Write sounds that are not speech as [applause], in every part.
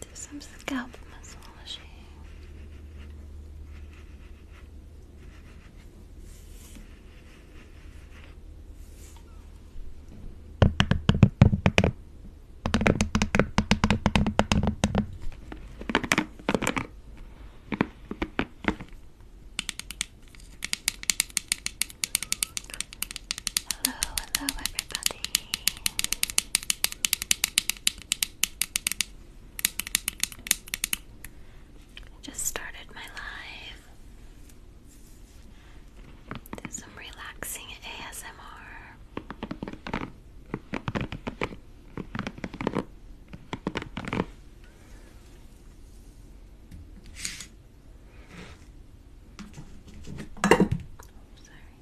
Do some scalp massage. Hello, hello, everybody. I just started my live. some relaxing ASMR. Oh, sorry.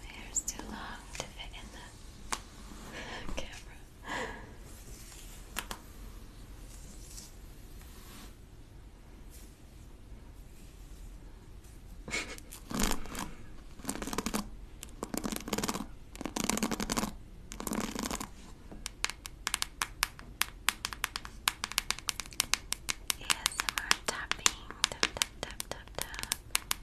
My hair's too long to fit in the [laughs] camera. ASMR [laughs] tapping, tap tap tap tap tap.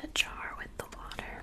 the jar with the water.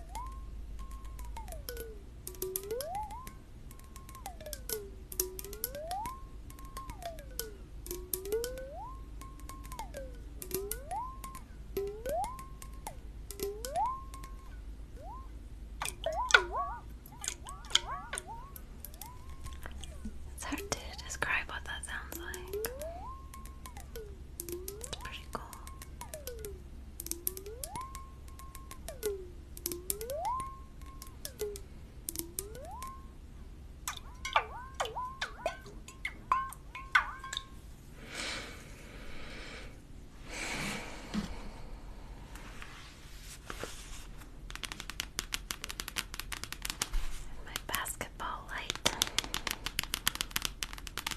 It's hard to describe what that sounds like. It's pretty cool. And my basketball light.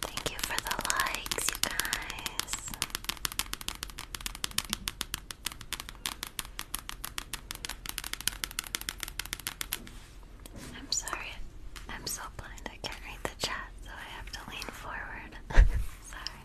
Thank you for the likes, you guys. I'm sorry, I'm so blind I can't read the chat, so I have to lean forward. [laughs] sorry.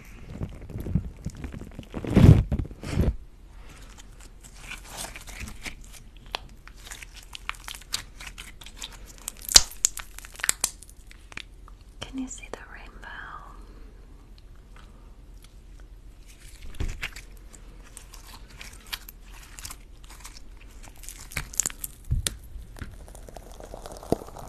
Can you see the rainbow?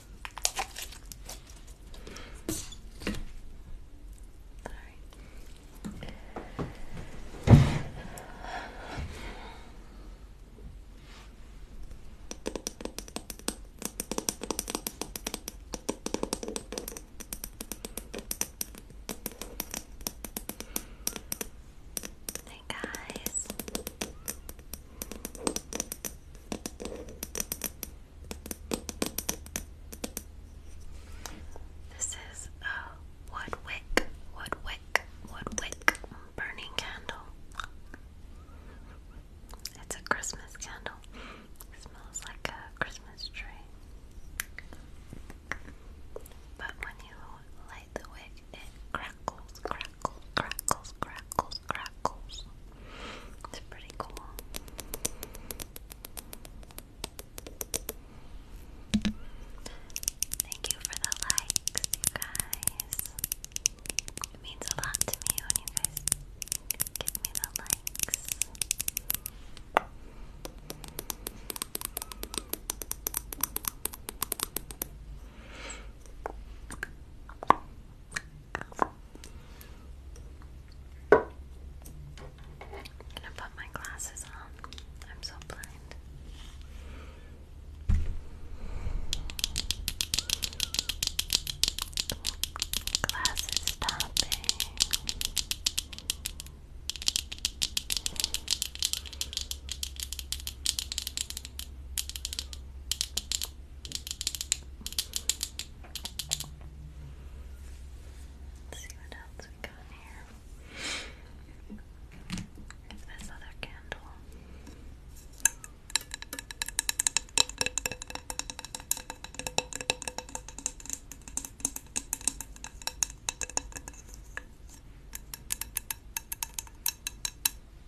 Sorry. Hey guys. This is a wood wick, wood wick, wood wick burning candle. It's a Christmas candle. smells like a Christmas tree. But when you light the wick, it crackles, crackles crackles, crackles, crackles, It's pretty cool. Thank you for the likes, you guys. It means a lot to me when you guys give me the likes. I'm gonna put my glasses on. I'm so blind. Glasses stopping. Let's see what else we got here. There's this other candle.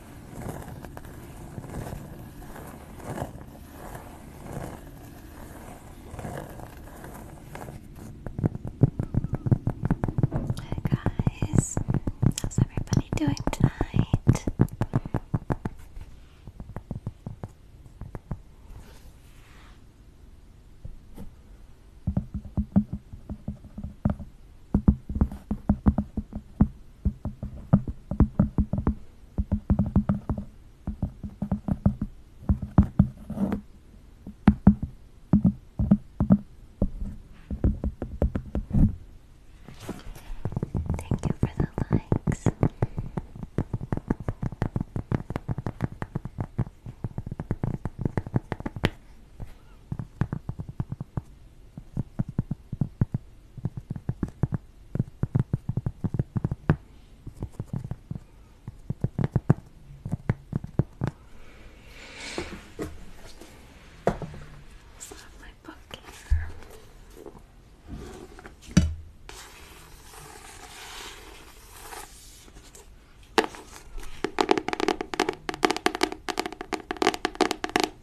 Hi guys, how's everybody doing tonight? Thank you for the likes. So I have my book here.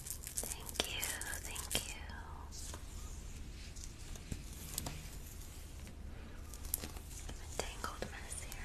Thank you, thank you. I'm mess here.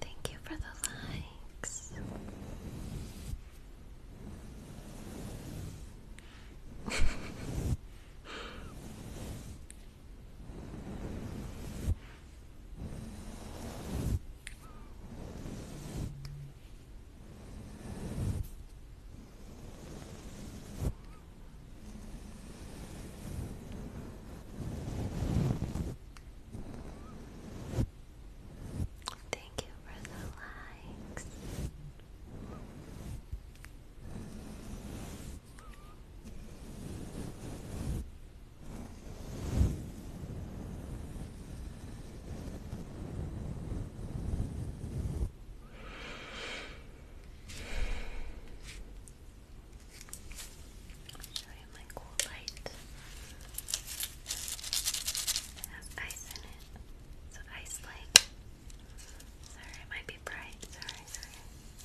Thank you for the likes. [laughs] Thank you for the likes i show you my cool light. It has ice in it. It's an ice Sorry, it might be bright. Sorry, sorry. Lights.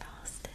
Lost in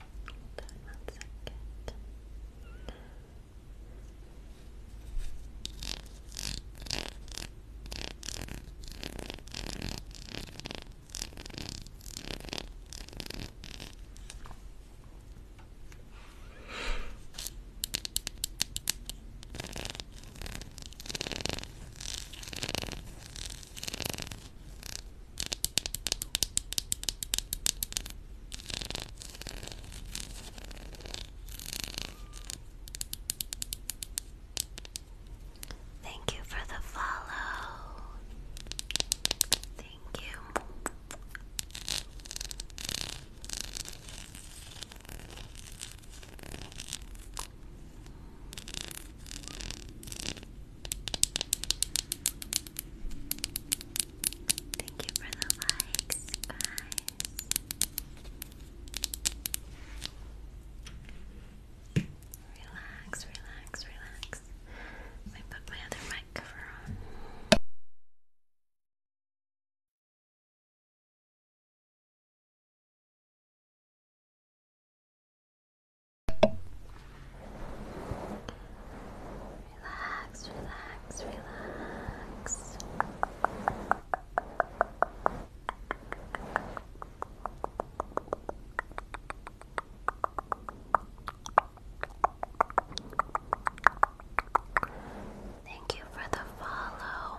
Hold on one second. Okay. Thank you for the follow. Thank you. Thank you for the likes, guys. Relax, relax, relax. Let put my other mic cover on. Relax, relax, relax. Thank you for the follow.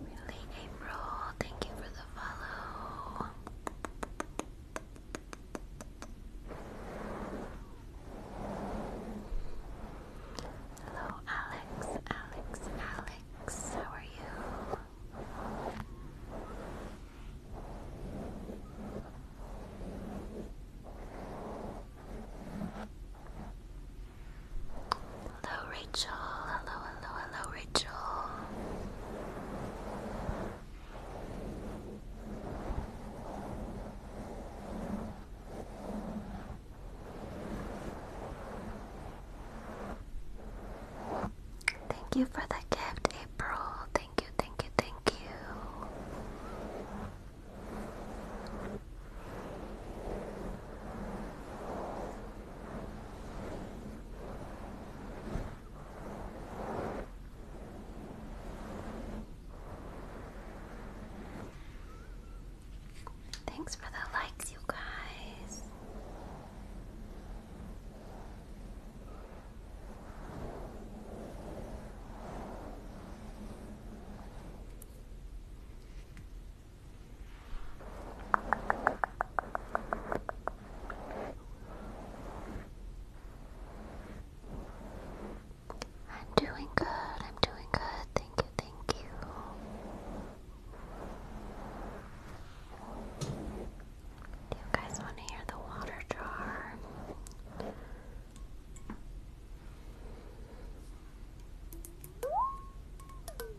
Really, April, thank you for the follow. Hello, Alex, Alex, Alex, how are you? Hello, Rachel. Hello, hello, hello, Rachel. Thank you for the gift, April. Thank you, thank you, thank you. Thanks for the likes, you guys. I'm doing good, I'm doing good, thank you, thank you. Do you guys want to hear the water jar?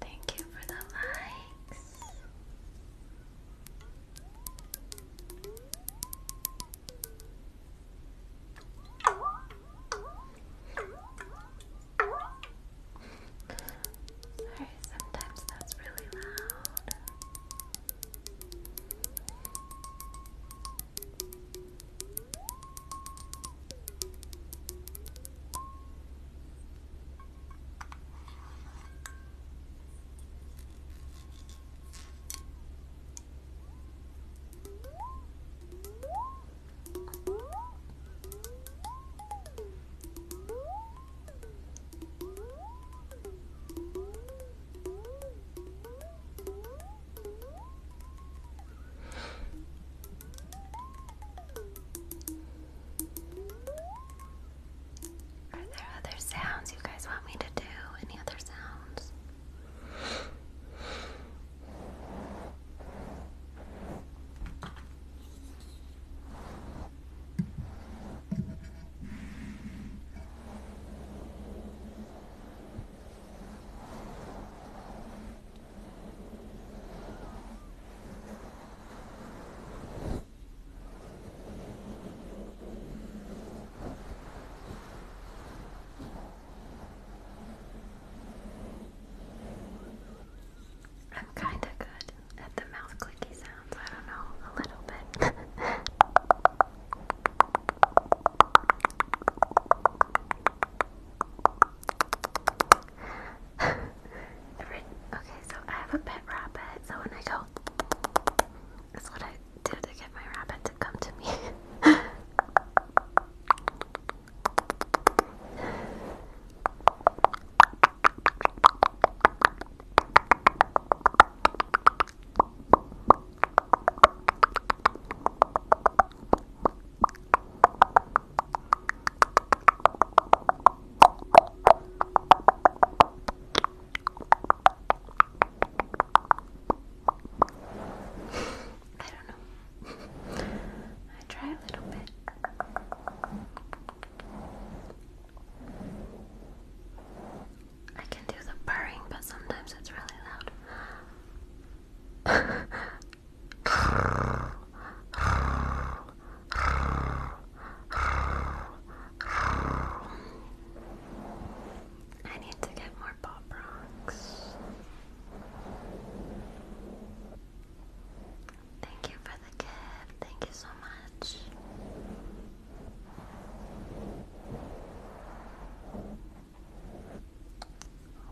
Thank you for the likes. Sorry, sometimes that's really loud. Are there other sounds you guys want me to do? Any other sounds? I'm kind of good at the mouth clicky sounds. I don't know, a little bit. [laughs] okay, so I have a pet rabbit, so when I go, that's what I do to get my rabbit to come to me. [laughs] I don't know. I try a little bit. I can do the purring, but sometimes it's really loud. I need to get more pop rocks. Thank you for the gift. Thank you so much.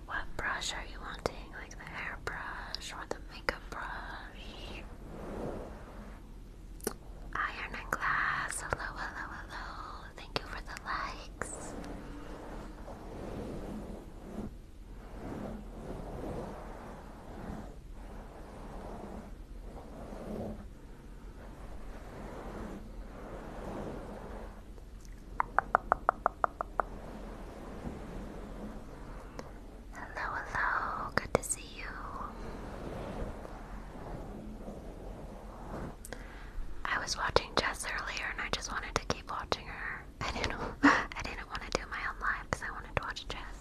What brush are you wanting? Like the hairbrush or the makeup brush? Iron and glass. Hello, hello, hello. Thank you for the likes. Hello, hello, good to see you. I was watching Jess earlier and I just wanted to keep watching her. I didn't [laughs] I didn't want to do my own live because I wanted to watch Jess.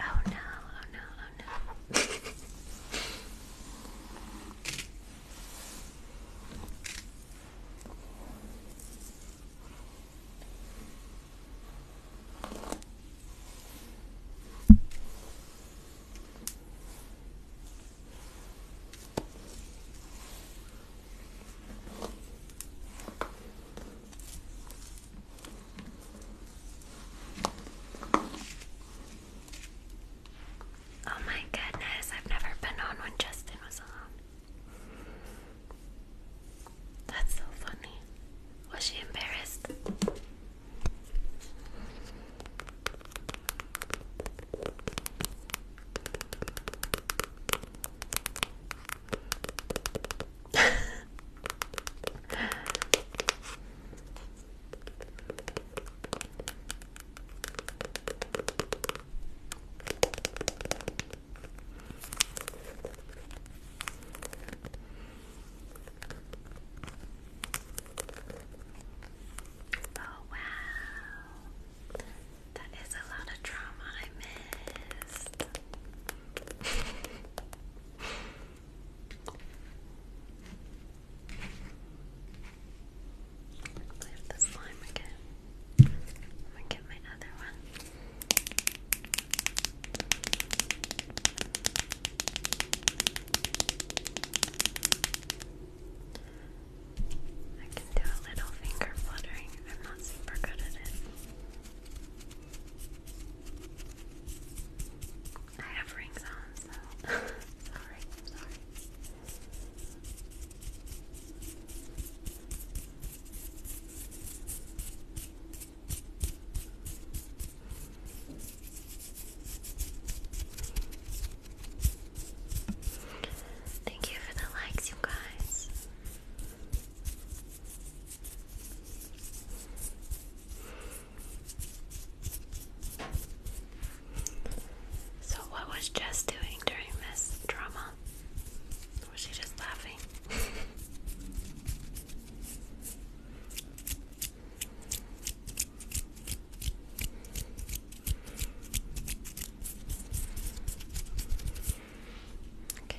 Oh no, oh no, oh no. Oh my goodness, I've never been on when Justin was on. That's so funny. Was she embarrassed? [laughs] Oh, wow. That is a lot of drama I missed. [laughs] I have the slime again. I'm gonna get my other one. I can do a little finger fluttering. I'm not super good at it. I have rings on, so sorry, sorry. Thank you for the likes, you guys. So, what was Jess doing during this drama? Was she just laughing? okay.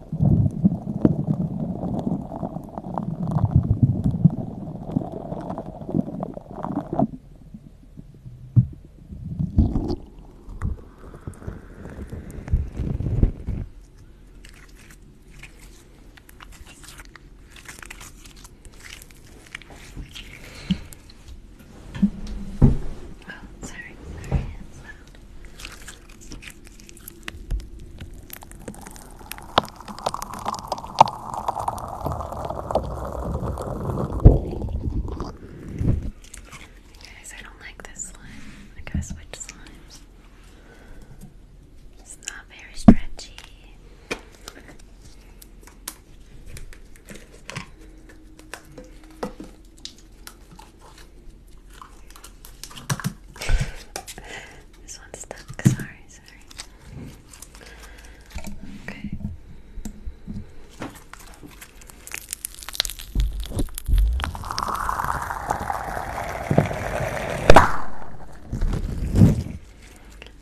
Oh, sorry, sorry, it's not Guys, I don't like this slime. I gotta switch slimes. It's not very stretchy this one's stuck. Sorry, sorry. Okay. I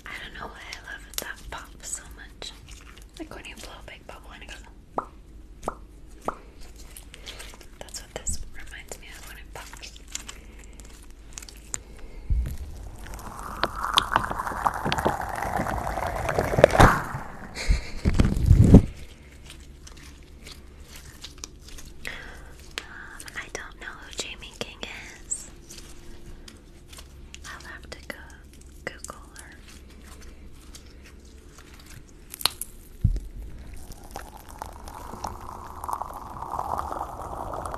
don't know why I love that pop so much. Like when you blow big bubble that's what this reminds me of when it pops. Um, I don't know who Jamie King is. I'll have to go Google her.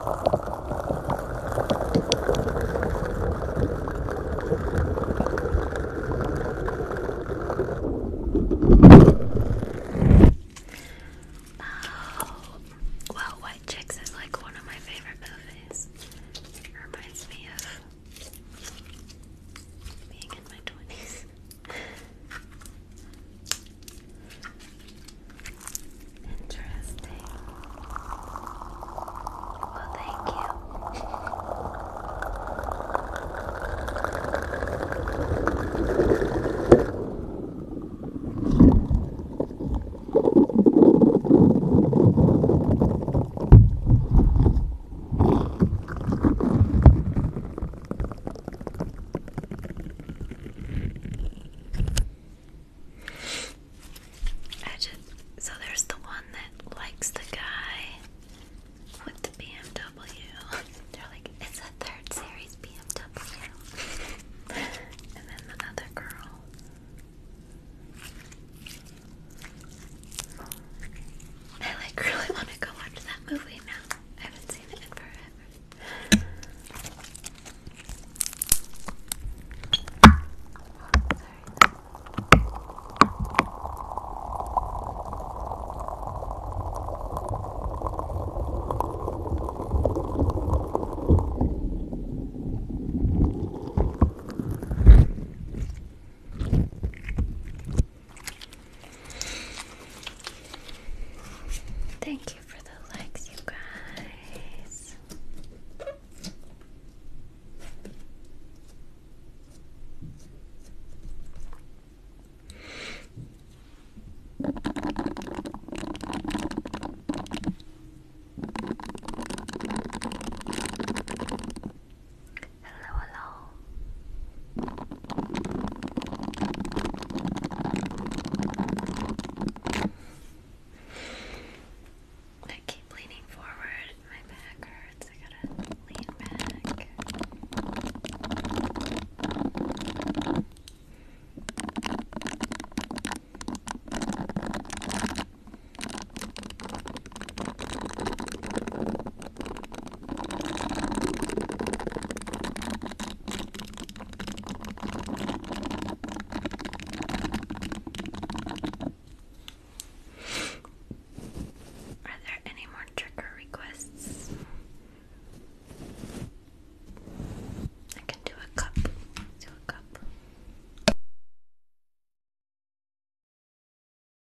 Oh, well, White Chicks is like one of my favorite movies. reminds me of being in my 20s. [laughs] Interesting. Well, thank you. I just so there's the one that likes the guy with the BMW. [laughs] They're like, it's a third series BMW. [laughs] and then the other girl. I like really want to go watch that movie now. I haven't seen it in forever. Sorry. Thank you for the likes, you guys. Hello, hello. I keep leaning forward, my back hurts. I gotta lean back. Are there any more trigger requests? I can do a cup. do a cup.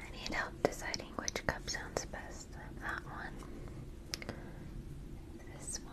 I need help deciding which cup sounds best. That one. This one.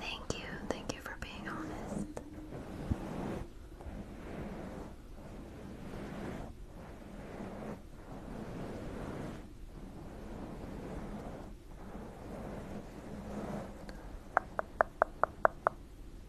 Thank you, thank you for being honest.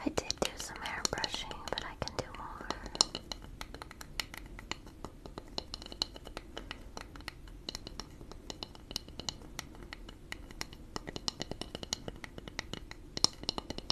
I did do some hair brushing, but I can do more.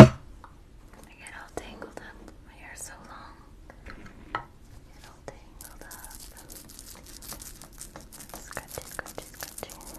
I get all tangled up. My hair's so long. I get all tangled up. Scratch it, scratch it, scratch it. Scratch,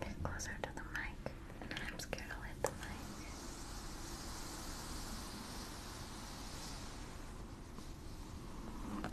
Get closer to the mic. I'm scared I'll hit the mic. Okay.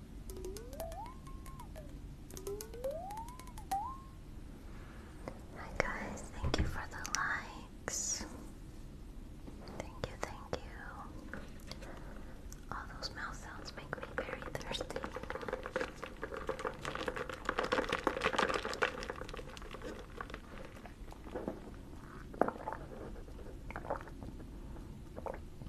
Hi guys, thank you for the likes. Thank you, thank you. All those mouth sounds make me very thirsty.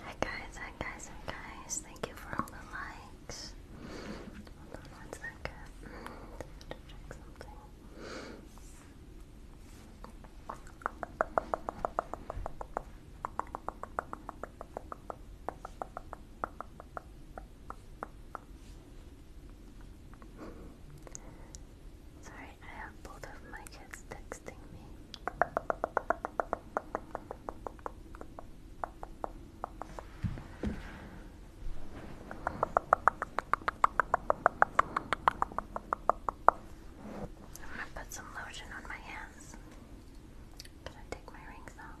Hi guys, hi guys, hi guys. Thank you for all the likes. one second. Mm, Sorry I have both of my kids texting me. I'm gonna put some lotion on my hands. gonna take my rings off.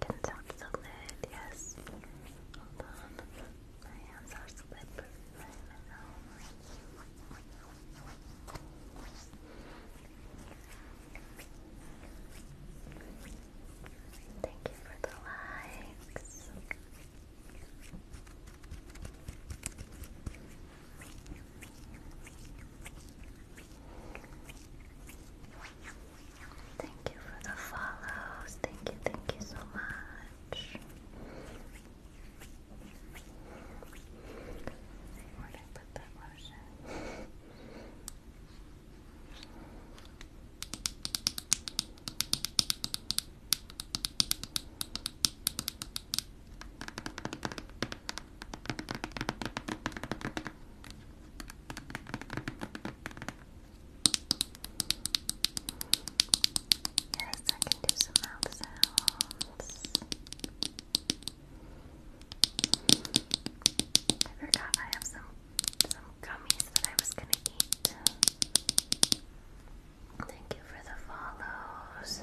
Didn't sound so good, yes. Hold on. My hands are slippery Thank you for the likes. Thank you for the follows. Thank you, thank you so much. Where did I put that lotion? Yes, I can do some mouth I forgot I have some some gummies that I was gonna eat. Thank you for the follows.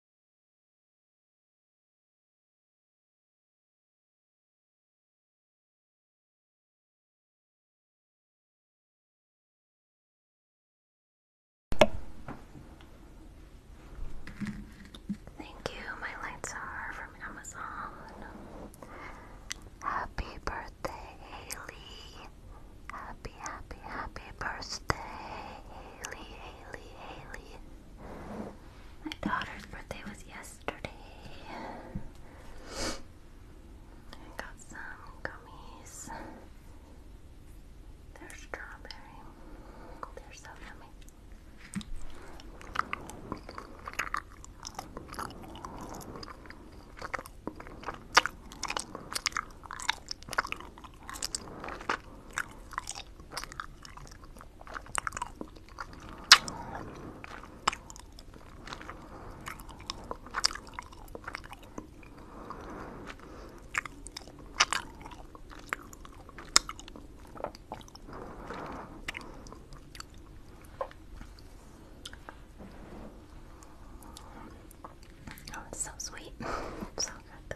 Thank you, my lights are from Amazon. Happy birthday, Haley. Happy, happy, happy birthday, Haley, Haley, Haley. My daughter's birthday was yesterday. I got some gummies. They're strawberry. They're so yummy. Oh, it's so sweet. [laughs] so good though.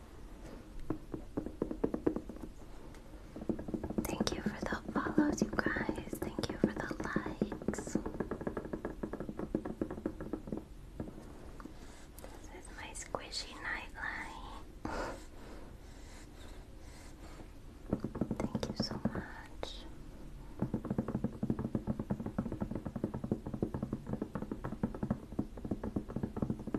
Thank you for the follows, you guys. Thank you for the likes. This is my squishy nightlight. Thank you so much.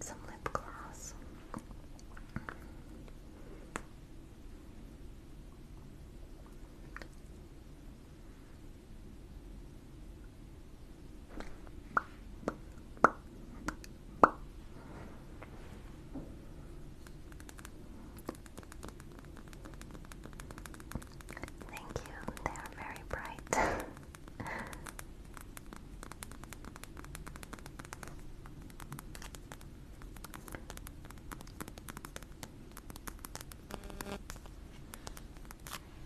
Some lip gloss. Thank you, they are very bright. [laughs]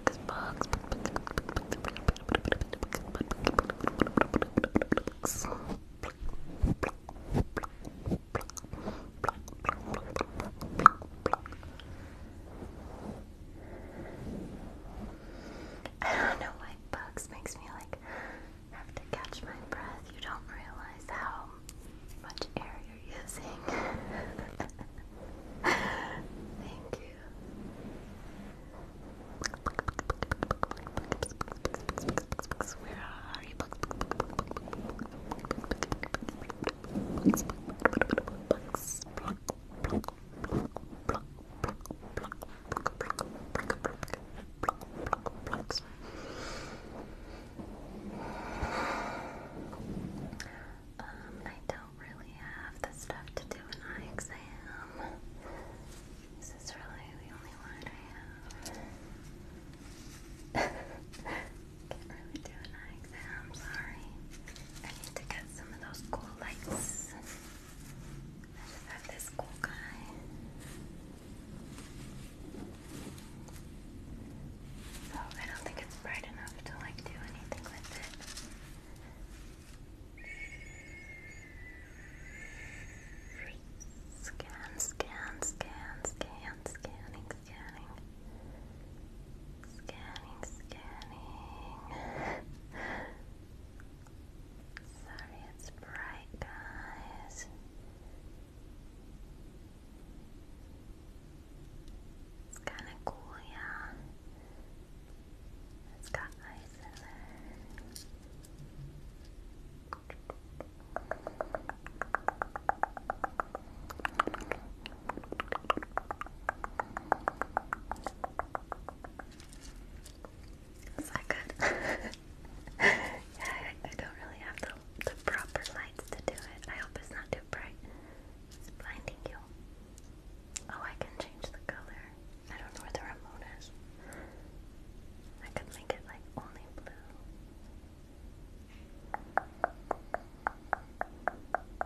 I don't know why bugs makes me like have to catch my breath. You don't realize how much air you're using. [laughs] Thank you. Where are you? Bugs, bugs, pluck, pluck, pluck, pluck, pluck, pluck, pluck, pluck, pluck, pluck, pluck, plucks. Um, I don't really have the stuff to do an eye exam. This is really the only one I have. [laughs] Can't really do an eye exam, sorry. I need to get some of those cool lights. I just have this cool guy. So I don't think it's bright enough to like do anything with it. Scan, scan, scan, scan, scanning, scanning. Scanning, scanning. Sorry, it's bright, guys. It's kind of cool, yeah. It's got ice in there. that good? [laughs] yeah, I don't really have the, the proper lights to do it. I hope it's not too bright. It's blinding you. Oh, I can change the color. I don't know where the remote is. I could make it like only blue. Oh,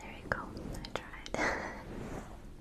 there you I tried. [laughs]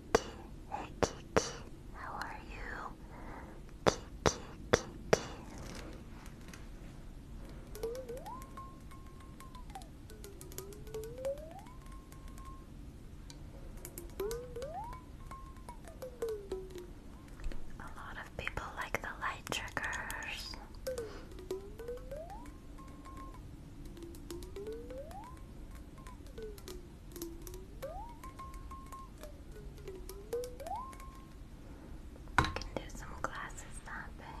Kiki, hey Kiki, how are you? Kiki, Kiki. A lot of people like the light triggers. I can do some glasses snapping.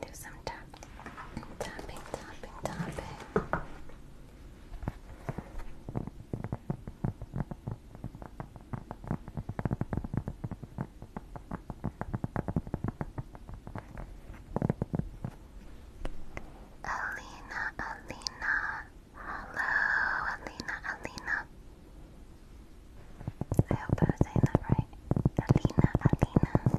Do some tap, tapping, tapping, tapping. Alina, Alina, hello, Alina, Alina. I hope I was saying that right. Alina, Alina.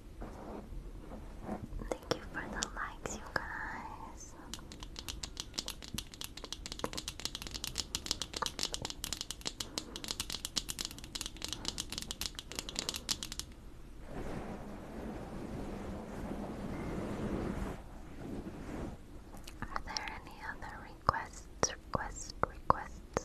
Thank you for the likes, you guys. Are there any other requests? Requests, requests.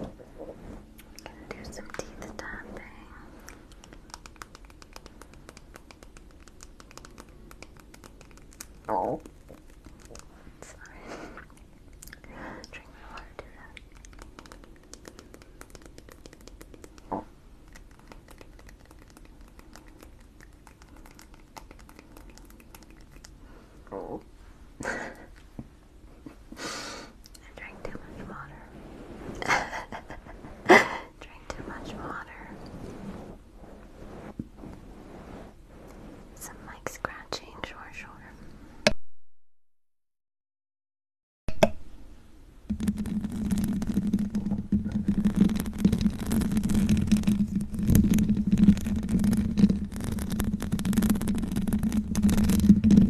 Gonna do some teeth tapping. Oh, sorry. Drink my water, Oh. oh. [laughs] Drink too much water. [laughs] drank too much water. Some like scratching, sure, sure.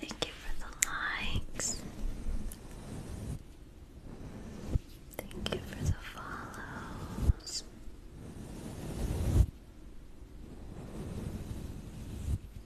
Thank you for the likes. Thank you for the follows.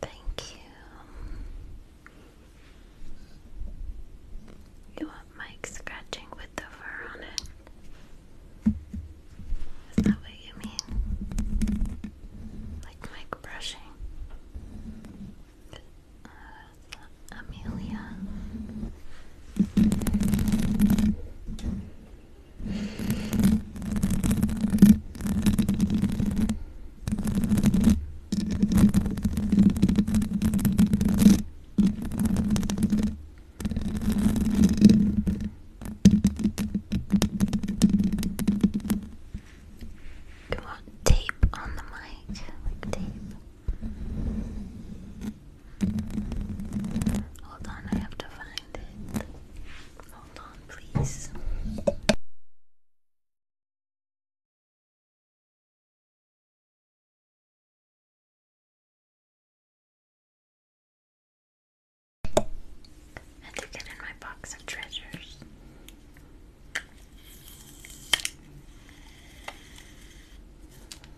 Thank you. You want Mike scratching with the fur on it? Is that what you mean? Like Mike brushing? Amelia. You want tape on the mic, like tape. Hold on, I have to find it. Hold on, please. I to get in my box of treasures.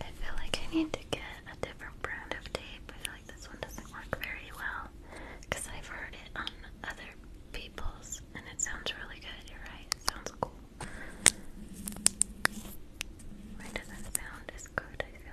I feel like I need to get a different brand of tape. I feel like this one doesn't work very well because I've heard it on other people's and it sounds really good. You're right, sounds cool. Why doesn't sound as good? I feel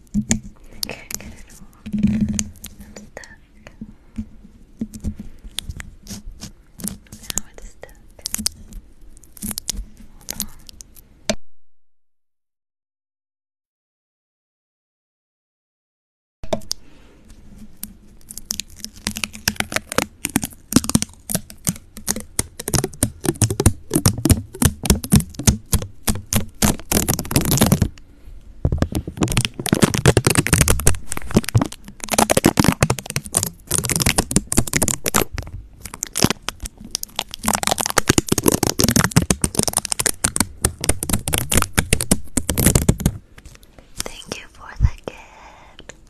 I can't get it all. I'm stuck. Now it's stuck. Hold on. Thank you for the gift.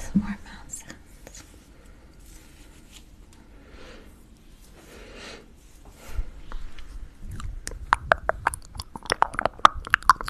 Some more mouth sounds.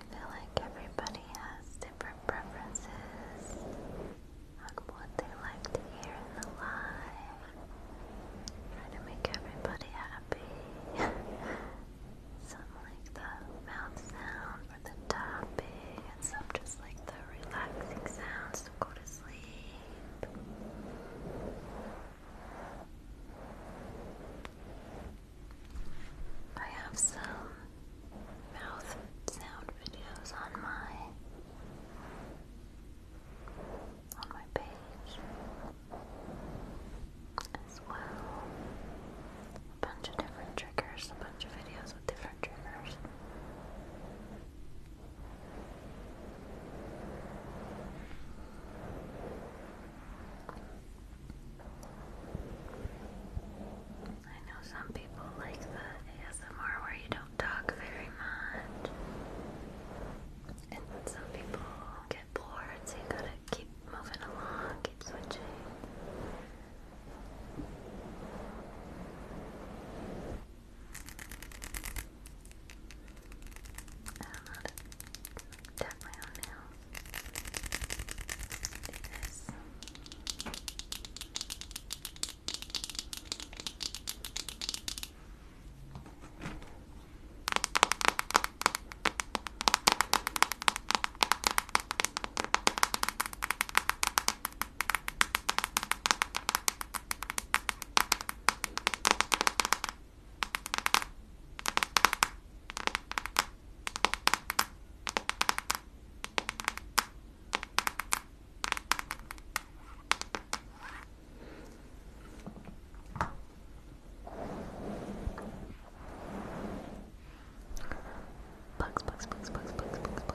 I feel like everybody has different preferences on what they like to hear in the live. Try to make everybody happy. [laughs] some like the mouth sound for the tapping, and some just like the relaxing sounds go to sleep. I have some mouth sound videos on my on my page as well. A bunch of different triggers, a bunch of videos with different triggers. I know some people like the ASMR where you don't talk very much. And some people get bored, so you gotta keep moving along, keep switching. I don't know how to tap my own nails. Do this. I Bugs, bugs, bugs, bugs, bugs, bugs,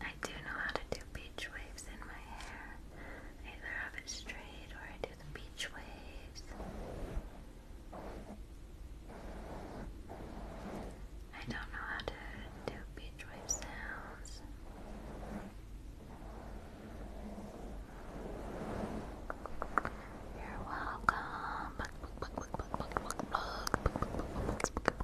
I do know how to do beach waves in my hair. either have it straight or I do the beach waves. I don't know how to do beach wave sounds. You're welcome.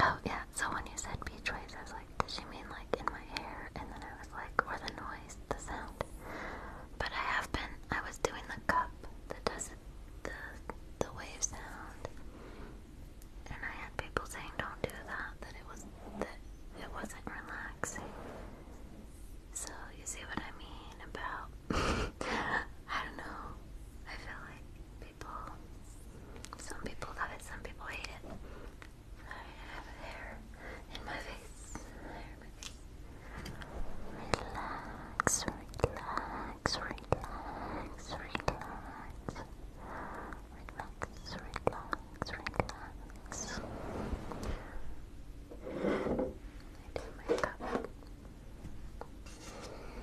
Oh yeah, so when you said beach waves, I was like, does she mean like in my hair? And then I was like, or the noise, the sound. But I have been, I was doing the cup that does the, the wave sound. And I had people saying don't do that, that it was, that it wasn't relaxing. So you see what I mean about, [laughs] I don't know, I feel like some people love it, some people hate it. I have hair in my face. Relax, relax, relax, relax. Relax, relax, relax. I do my relax, relax, relax, relax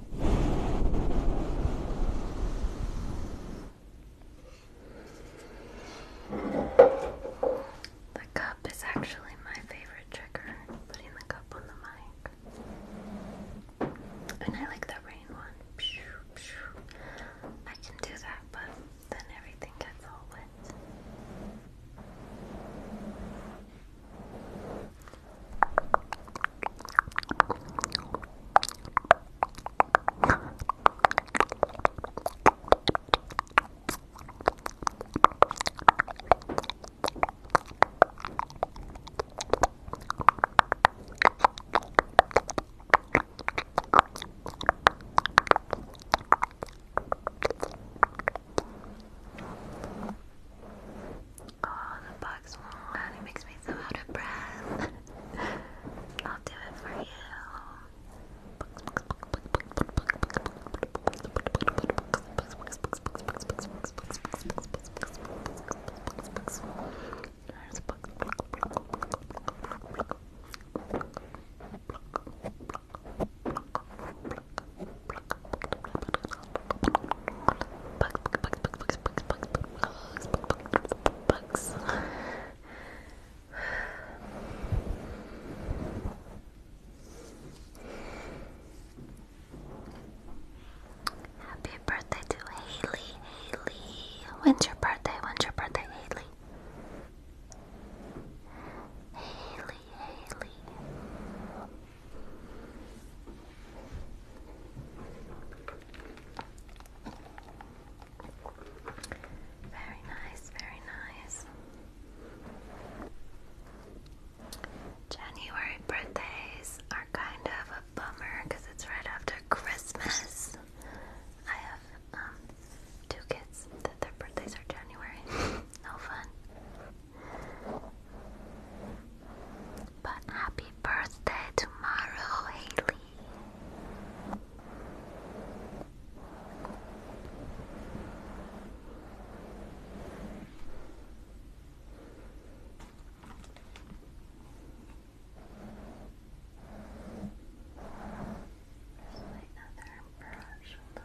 The cup is actually my favorite trigger, putting the cup on the mic. And I like the rain one. I can do that, but then everything gets all wet. Oh, the bugs. And it makes me so out of breath. I'll do it for you. There's books. Happy birthday to Haley, Haley. When's your birthday? When's your birthday, Haley? Haley, Haley. Very nice, very nice. January birthdays are kind of a bummer because it's right after Christmas. I have um, two kids that their birthdays are January. no fun. But happy birthday tomorrow, Haley another brush. Hold on.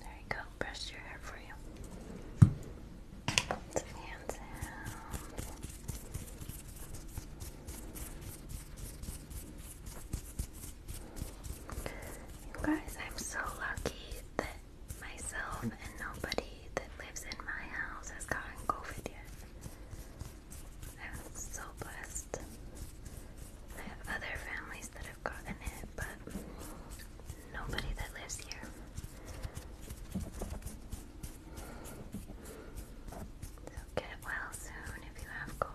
there you go, brush your hair for you. Some hand sounds. You guys, I'm so lucky that myself and nobody that lives in my house has gotten COVID yet. I'm so blessed. I have other families that have gotten it, but nobody that lives here. So get well soon if you have COVID.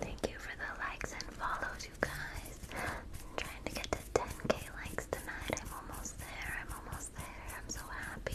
Thank you for the likes and follows, you guys. trying to get to 10k likes tonight. I'm almost there. I'm almost there. I'm so happy.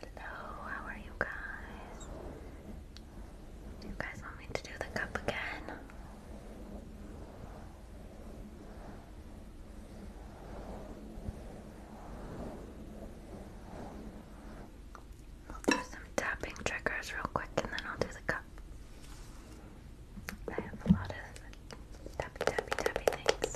Hello, how are you guys? Do you guys want me to do the cup again? I'll do some tapping triggers real quick and then I'll do the cup. I have a lot of tappy tappy tappy things.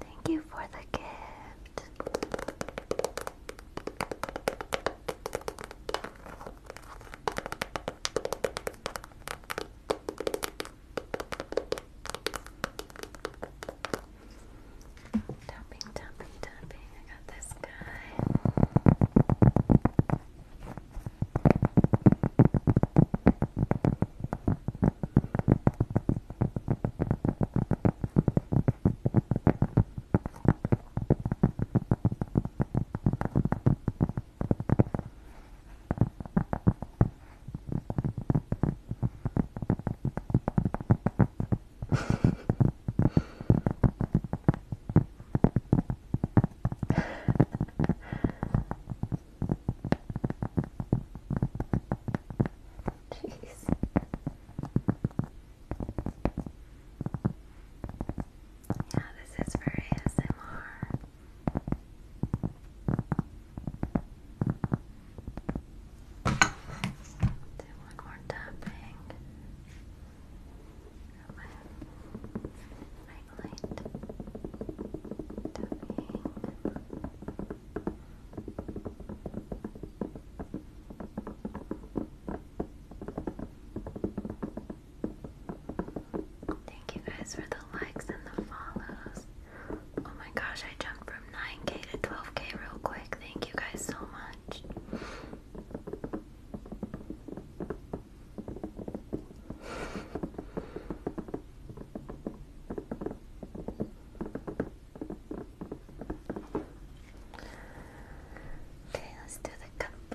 Thank you for the gift. Tapping, tapping, tapping. I got this guy. Jeez. [laughs] Yeah, this is for ASMR. Do one more tapping right light. Tapping. Thank you guys for the likes and the follows. Oh my gosh, I jumped from 9k to 12k real quick. Thank you guys so much. Okay, let's do the cup.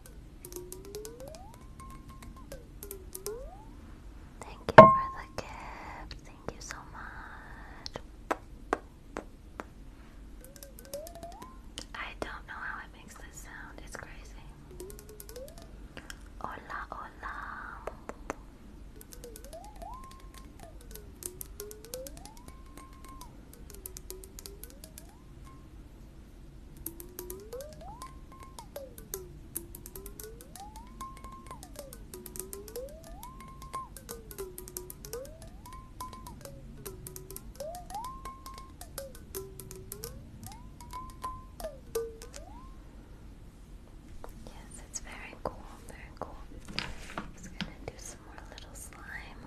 Thank you for the gift. Thank you so much. I don't know how it makes this sound. It's crazy. Hola, hola. Yes, it's very cool, very cool. just gonna do some more little slime.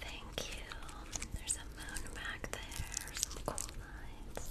Thank you. There's a moon back there, some cool lights.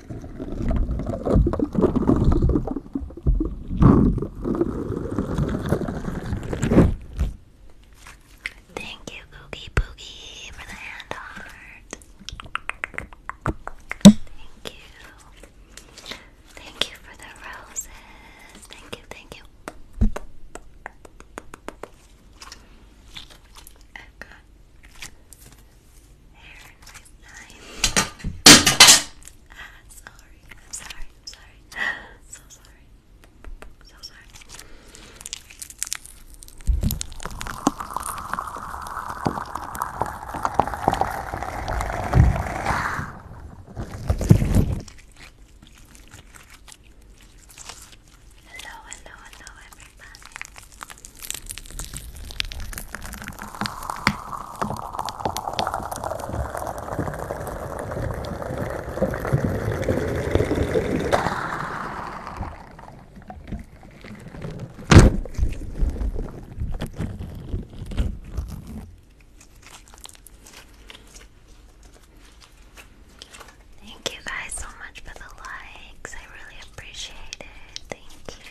Thank you, Googie Boogie, for the hand heart. Thank you. Thank you for the roses. Thank you, thank you. i hair in my Ah, sorry. I'm sorry. I'm sorry. So sorry. So sorry. Hello, hello, hello, everybody. Thank you guys so much for the likes. I really appreciate it. Thank you.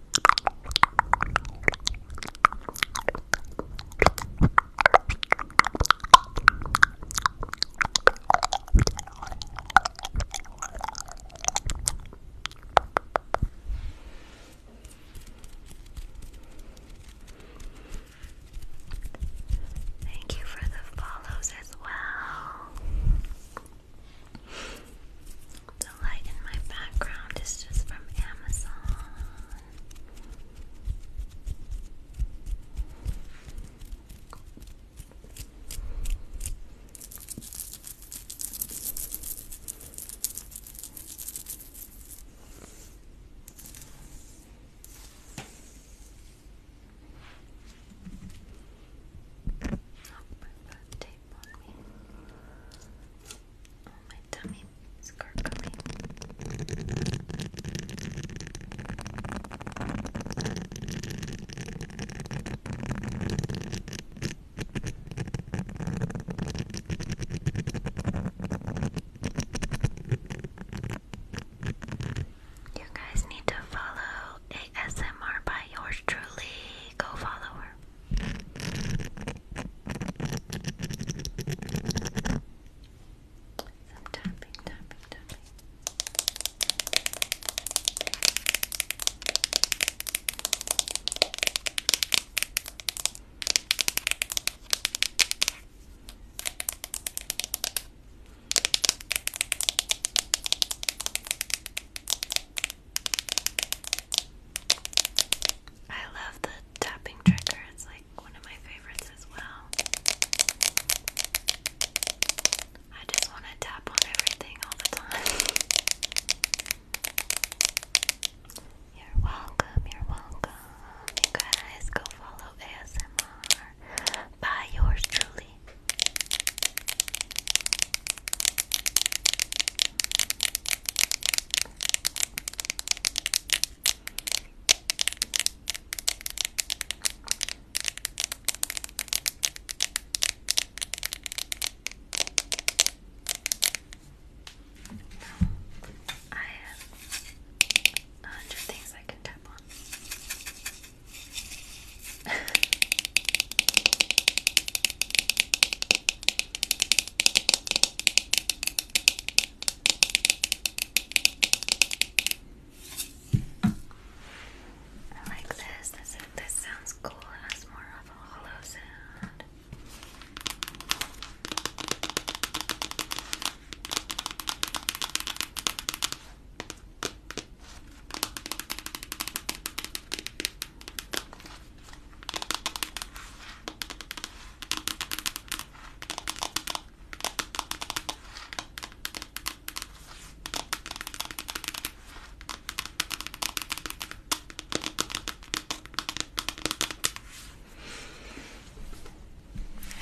Thank you for the follows as well. The light in my background is just from Amazon. I put tape on me. Oh, my tummy You guys need to follow ASMR by yours truly. Go follow her. Some tapping, tapping, tapping. Okay. I love the tapping trigger, it's like one of my favorites as well. I just want to tap on everything all the time. [laughs] You're welcome, you're welcome. guys go follow ASMR by yours truly. I have a hundred things I can tap on. [laughs] I like this. This this sounds cool. It has more of a hollow sound.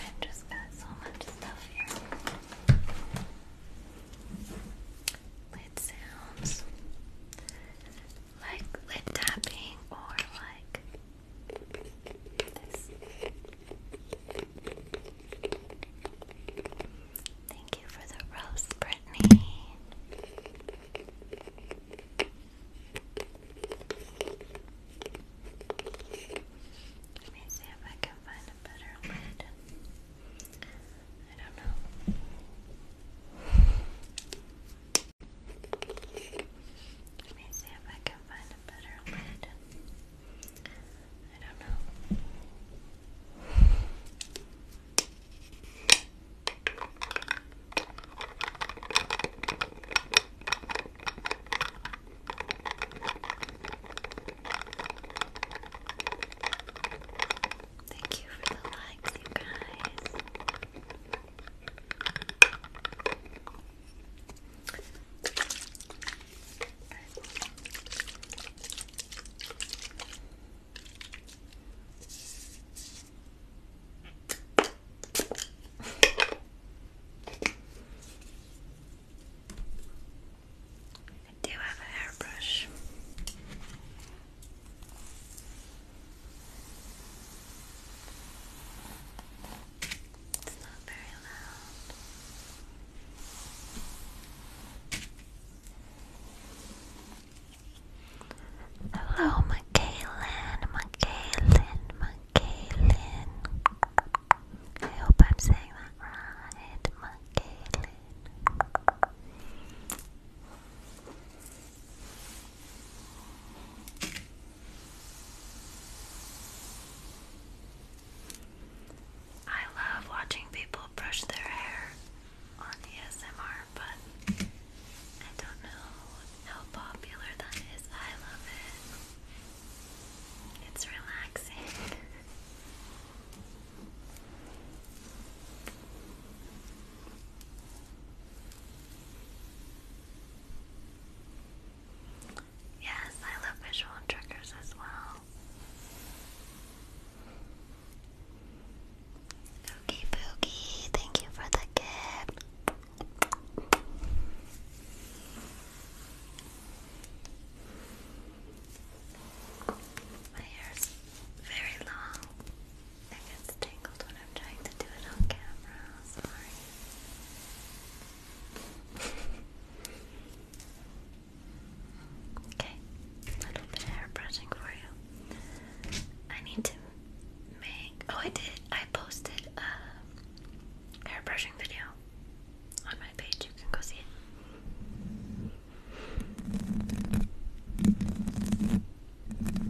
I just got so much stuff here. Lid sounds like lip tapping or like this. Thank you for the rose, Brittany. Let me see if I can find a better lid. I don't know. Let me see if I can find a better lid. I don't know. Thank you for the likes, you guys. I do have a hairbrush. It's not very loud. Hello, Michaelin, Michaelin, Michaelin. I hope I'm saying that right, Michaelin. I love watching people brush their hair on ASMR, but I don't know how popular that is. I love it. It's relaxing. Yes, I love visual triggers as well. Oogie Boogie, thank you for the gift. My hair's very long. It gets tangled when I'm trying to do it on camera. Sorry. [laughs] okay, a little bit hair brushing for you. I need to make. Oh, I did. I posted a hair brushing video on my page. You can go see it. Should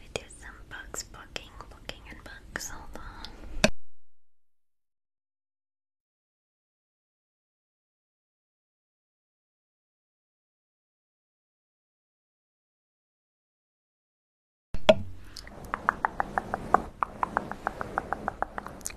we do some bugs, booking, booking, and bugs? Hold on.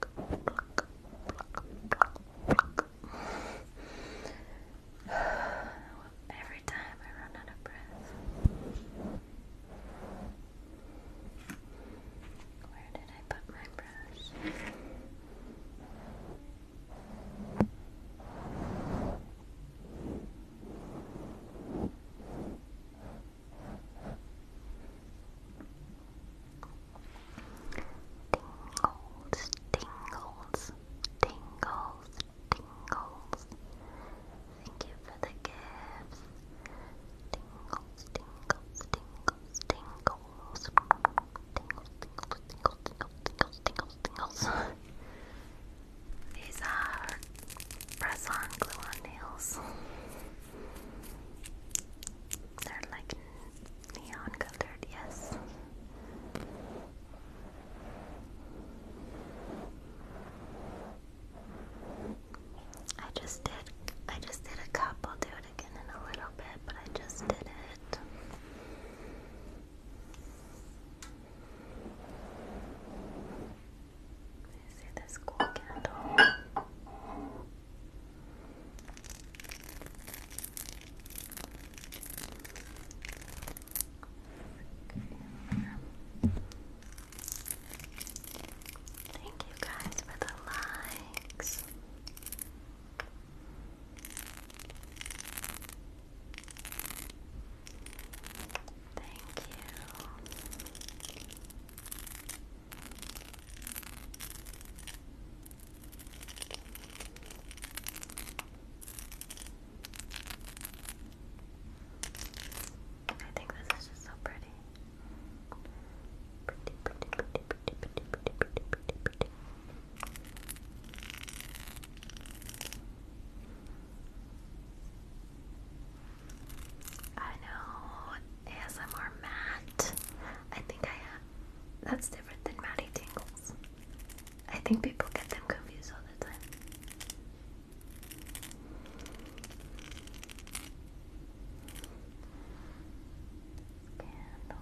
pluck, pluck, Every time I run out of breath. Where did I put my brush? Tingles, tingles, tingles, tingles. Thank you for the gifts. Tingles, tingles, tingles, tingles. Tingles, tingles, tingles, tingles, tingles, tingles, tingles. These are press on glue on nails. They're like neon colored, yes. I just did I just did a cup. do it again in a little bit, but I just did it. see this cool candle. Thank you guys for the likes. Thank you. I think this is just so pretty. Pretty, pretty, pretty, pretty, pretty, pretty, pretty, pretty, pretty. I know ASMR Matt. I think I have. That's different than Matty Tingles. I think people get them confused all the time. Candle.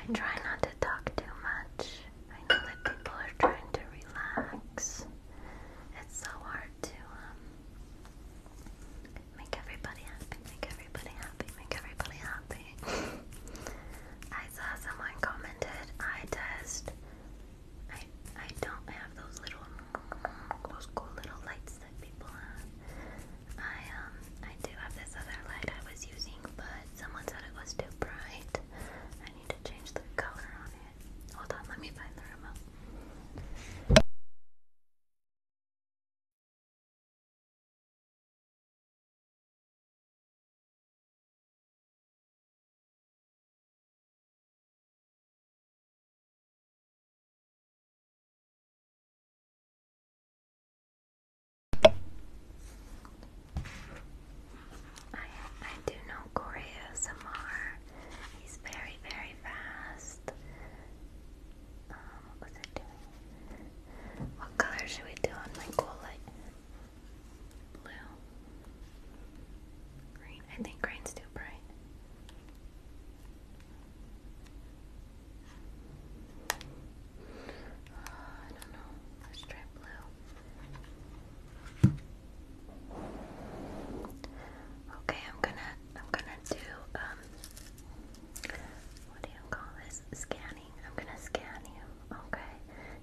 I try not to talk too much. I know that people are trying to relax. It's so hard to um, Make everybody happy, make everybody happy, make everybody happy. I saw someone commented, I test. I I don't have those little those cool little lights that people have. I um I do have this other light I was using, but someone said it was too bright. I need to change the color on Hold on, let me find the remote. I I do know Korea Samar He's very, very fast. Um, what color should we do on my cool light? Blue. Green. I think green's too bright. [sighs] I don't know. Let's try blue. Okay, I'm gonna I'm gonna do um what do you call this? Scanning. I'm gonna scan you. Okay.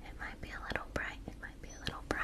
It might be a little bright. It might be a little bright.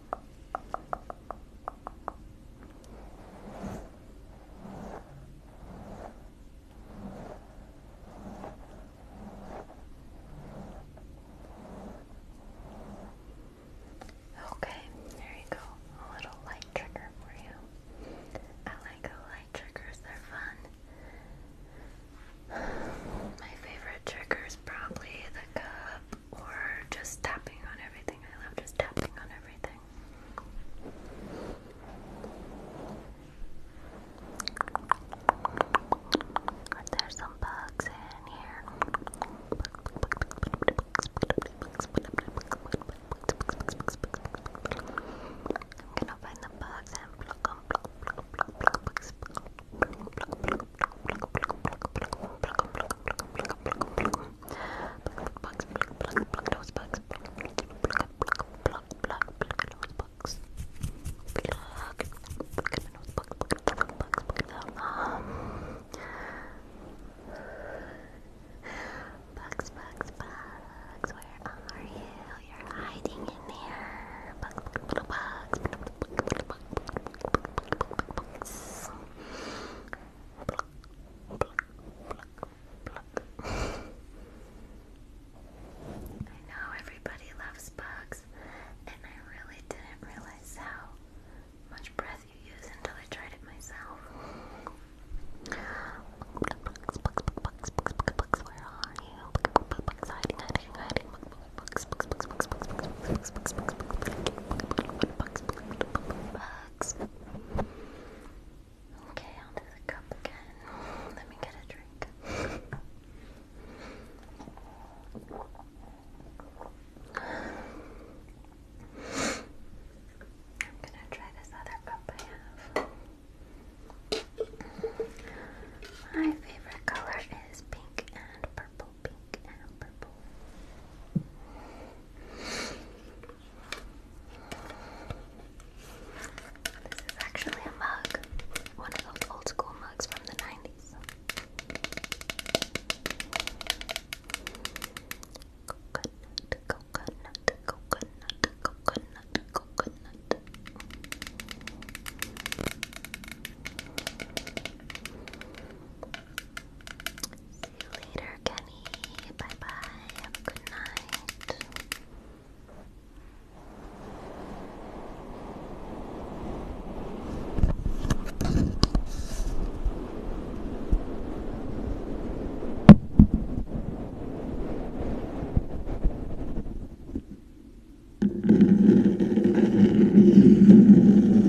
Okay, there you go. A little light trigger for you. I like how light triggers, they're fun. [sighs] My favorite trigger is probably the cup or just tapping on everything. I love just tapping on everything. There's some bugs in here. I'm gonna find the bugs and pluck them. Pluck, pluck, pluck, pluck, pluck those bugs. Pluck, pluck, pluck, pluck, pluck, pluck those bugs. Pluck, pluck those bugs, pluck, pluck, pluck, pluck them. Um, bugs, bugs, bugs. Where are you? You're hiding in there. Bugs, bugs, bugs, bugs, bugs, bugs, bugs. I know everybody loves bugs, and I really didn't realize how much breath you use until I tried it myself. Bugs, bugs, bugs, bugs, bugs, bugs, where are you? Bugs, hiding, hiding, hiding. bugs, bugs, bugs, bugs, bugs, bugs, bugs, bugs, bugs, bugs, bugs, bugs, bugs bugs, Okay, onto the cup again. Let me get a drink. I'm gonna try this other cup I have. My favorite color is pink and purple. This is actually a mug, one of those old school mugs from the 90s. See you later, Kenny. Bye bye. good night.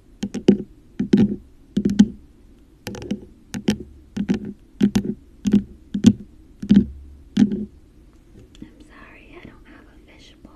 I'm sorry, I don't have a fishbowl.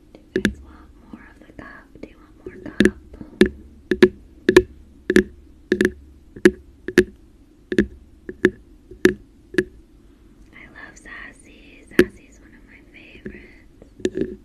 Do you want more of the cup? Do you want more cup? I love Sassy. Sassy is one of my favorites.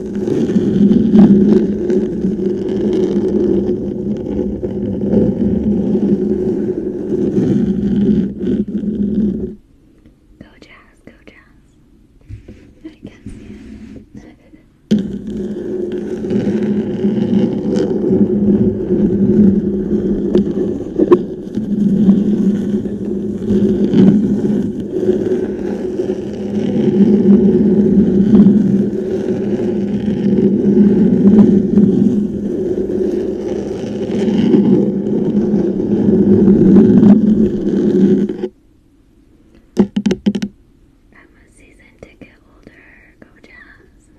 Go jazz, go jazz. I can see it. I'm a season ticket holder. Go Jazz.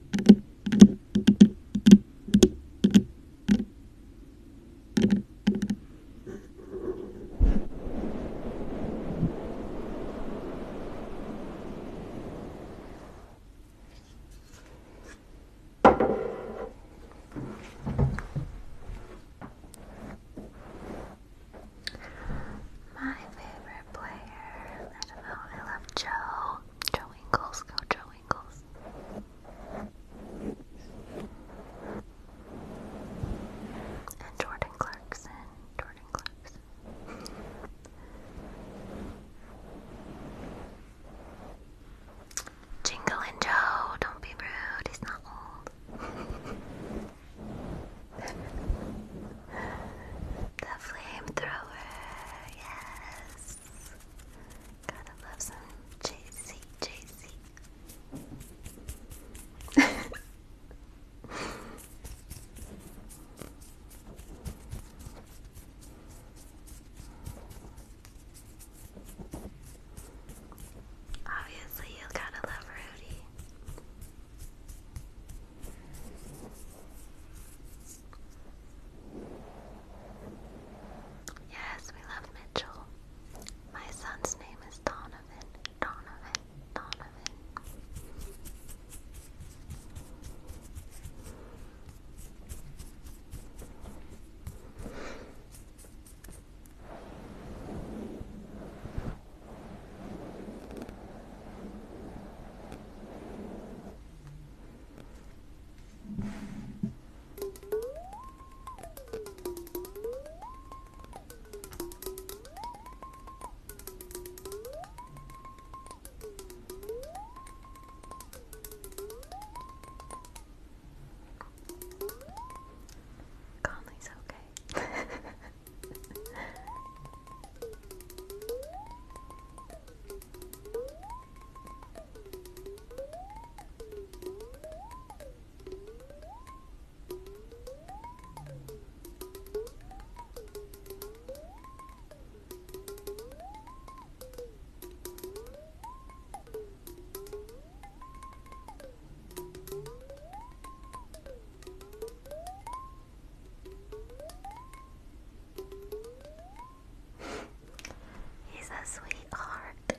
[laughs] My favorite player, I don't know, I love Joe. Joe Ingles, go Joe Ingles. And Jordan Clarkson. Jordan Clarkson. Jingle and Joe, don't be rude, he's not old. [laughs] the flamethrower, yes. Gotta love some JC, JC, Obviously, you gotta love Rudy. Yes, we love Mitchell. My son's name is Donna. Donovan, Donovan, Conley's okay. He's a sweetheart.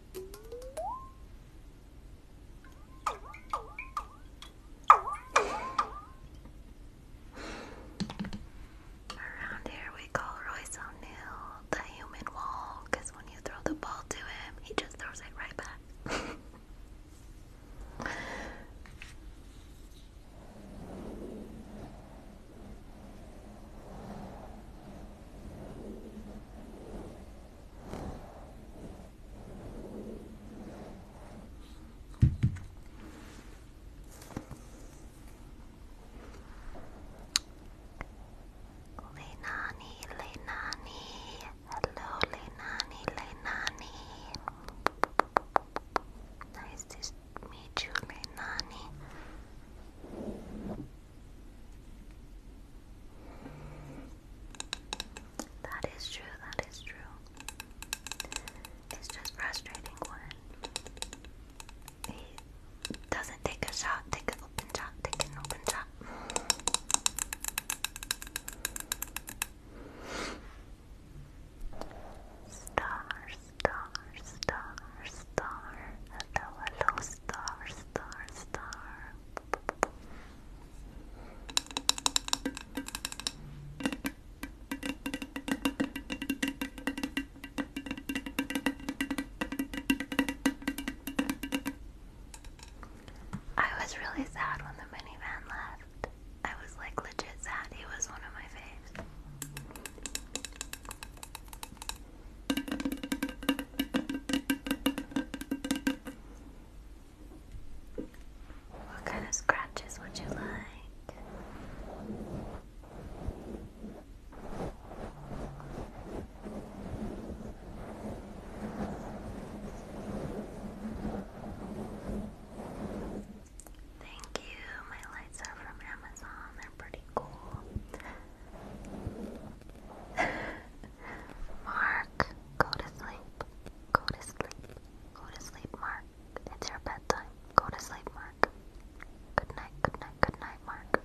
Around here, we call Royce O'Neill the human wall when you throw the ball to him, he just throws it right back. [laughs] Lenani, Lenani, hello Lenani, Lenani. Nice to meet you, Lenani. That is true, that is true. It's just frustrating when he doesn't take a shot, take an open shot, take an open shot. Star, star, star, star, hello, hello, star, star, star. I was really sad when the minivan left. I was like legit sad. He was one of my faves. What kind of scratches would you like? Thank you. My lights are from Amazon. They're pretty cool. [laughs] Mark, go to sleep. Go to sleep. Go to sleep, Mark. It's your bedtime. Go to sleep, Mark. Good night, good night, good night, Mark.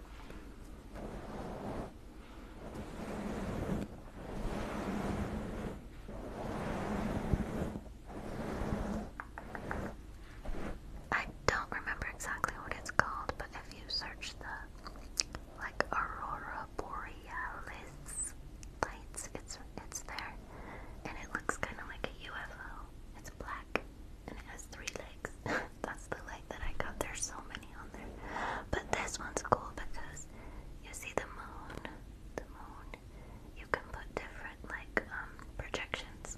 I don't remember exactly what it's called, but if you search the like aurora borealis lights. It's it's there, and it looks kind of like a UFO. It's black and it has three legs. [laughs] That's the light that I got. There's so many on there, but this one's cool because you see the moon. The moon. You can put different like um projections.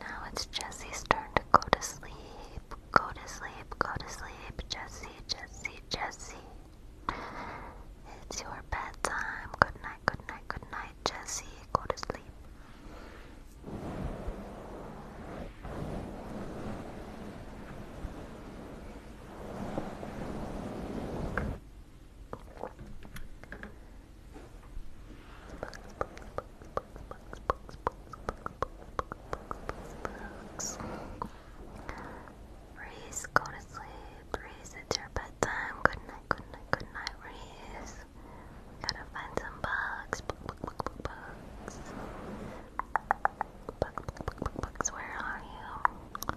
Now it's Jesse's turn to go to sleep. Go to sleep, go to sleep, Jesse, Jesse, Jesse. It's your bedtime. Good night, good night, good night, Jesse. Go to sleep. Reese, go to sleep. Reese, it's your bedtime. Good night, good night, good night, Reese. gotta find some bugs. Bug, bug, bugs. bugs, where are you?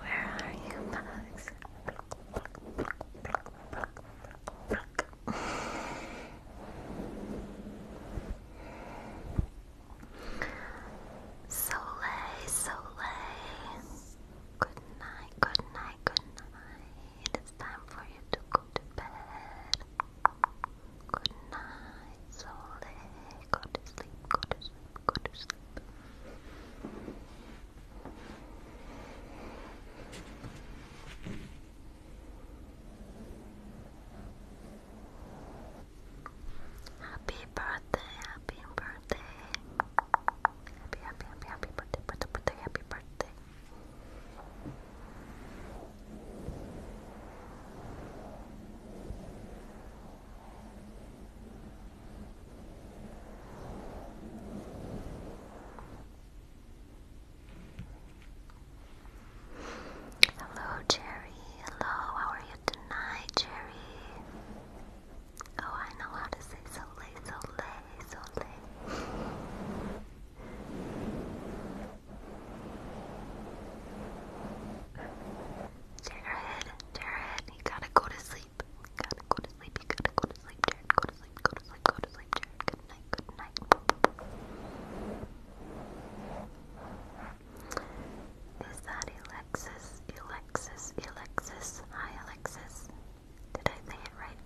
Where are you, bugs? Soleil, Soleil. Good night, good night, good night. It's time for you to go to bed. Good night, Sole. Go to sleep, go to sleep, go to sleep. Happy birthday, happy birthday. Happy, happy, happy, happy birthday, happy birthday. Hello, Jerry. Hello, how are you tonight, Jerry? Oh, I know how to say soleil, soleil, soleil. Jared, Jared, you gotta go to sleep. gotta go to sleep. You gotta go to sleep, Jared. Go to sleep. Go to sleep. Go to sleep, Jared. Good night. Good night. Is that Alexis? Alexis? Alexis? Hi, Alexis. Did I say it right?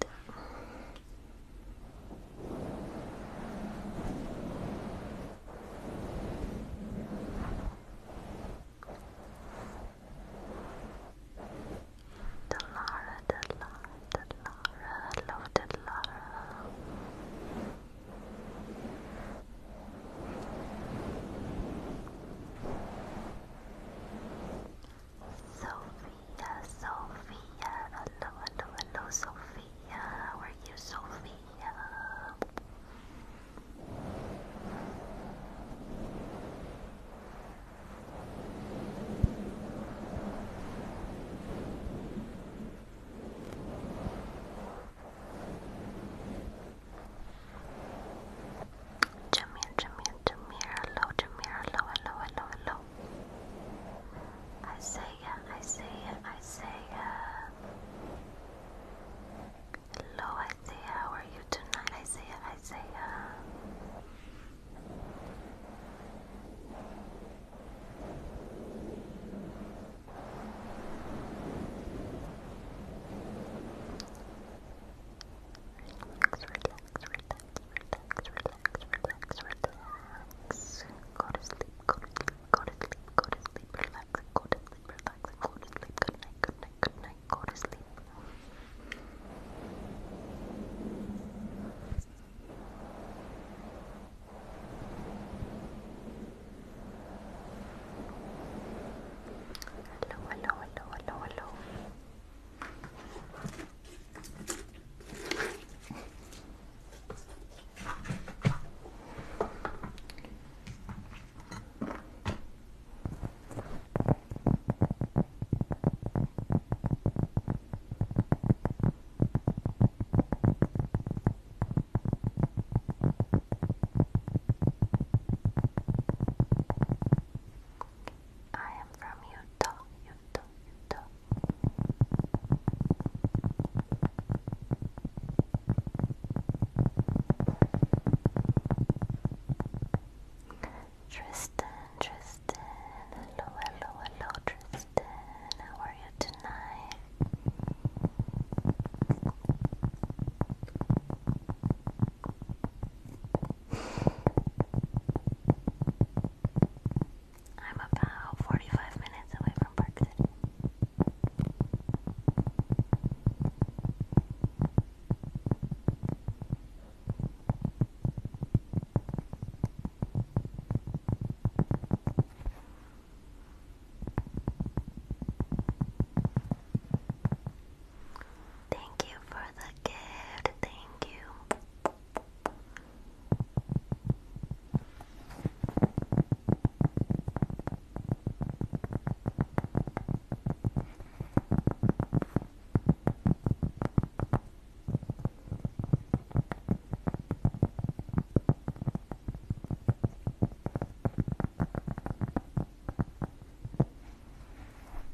Delara, Delara, Delara, hello Delara. Sophia, Sophia, hello, hello, hello, Sophia. Yeah, are you, Sophia? Jamir, Jamir, Jamir, hello, Jamir, hello, hello, hello, hello. I say I say, I say, hello, uh, I say, how uh, are you tonight? I say, I say, uh, Relax, relax, relax, relax, relax, relax, relax. Go to sleep, go to sleep, go to sleep, go to sleep, relax, go to sleep, relax, go to sleep, good night, good night, good night, go to sleep. Hello, hello, hello, hello, hello. I am from Utah, Utah, Tristan, Tristan, hello, hello, hello, Tristan. How are you tonight? I'm about 45 minutes away from Park City. Thank you for the gift. Thank you.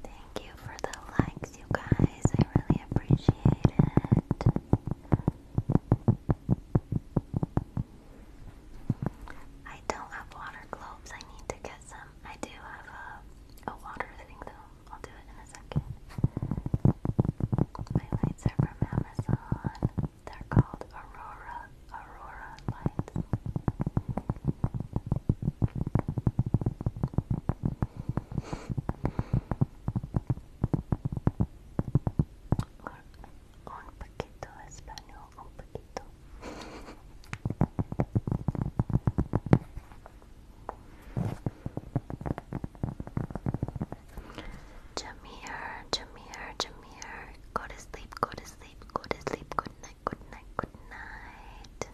Thank you for the likes, you guys. I really appreciate it. I don't have water globes. I need to get some. I do have a, a water thing though. I'll do it in a second. My lights are from Amazon. They're called Aurora Aurora lights un poquito de go to sleep, go to sleep, go to sleep, good night, good night, good night.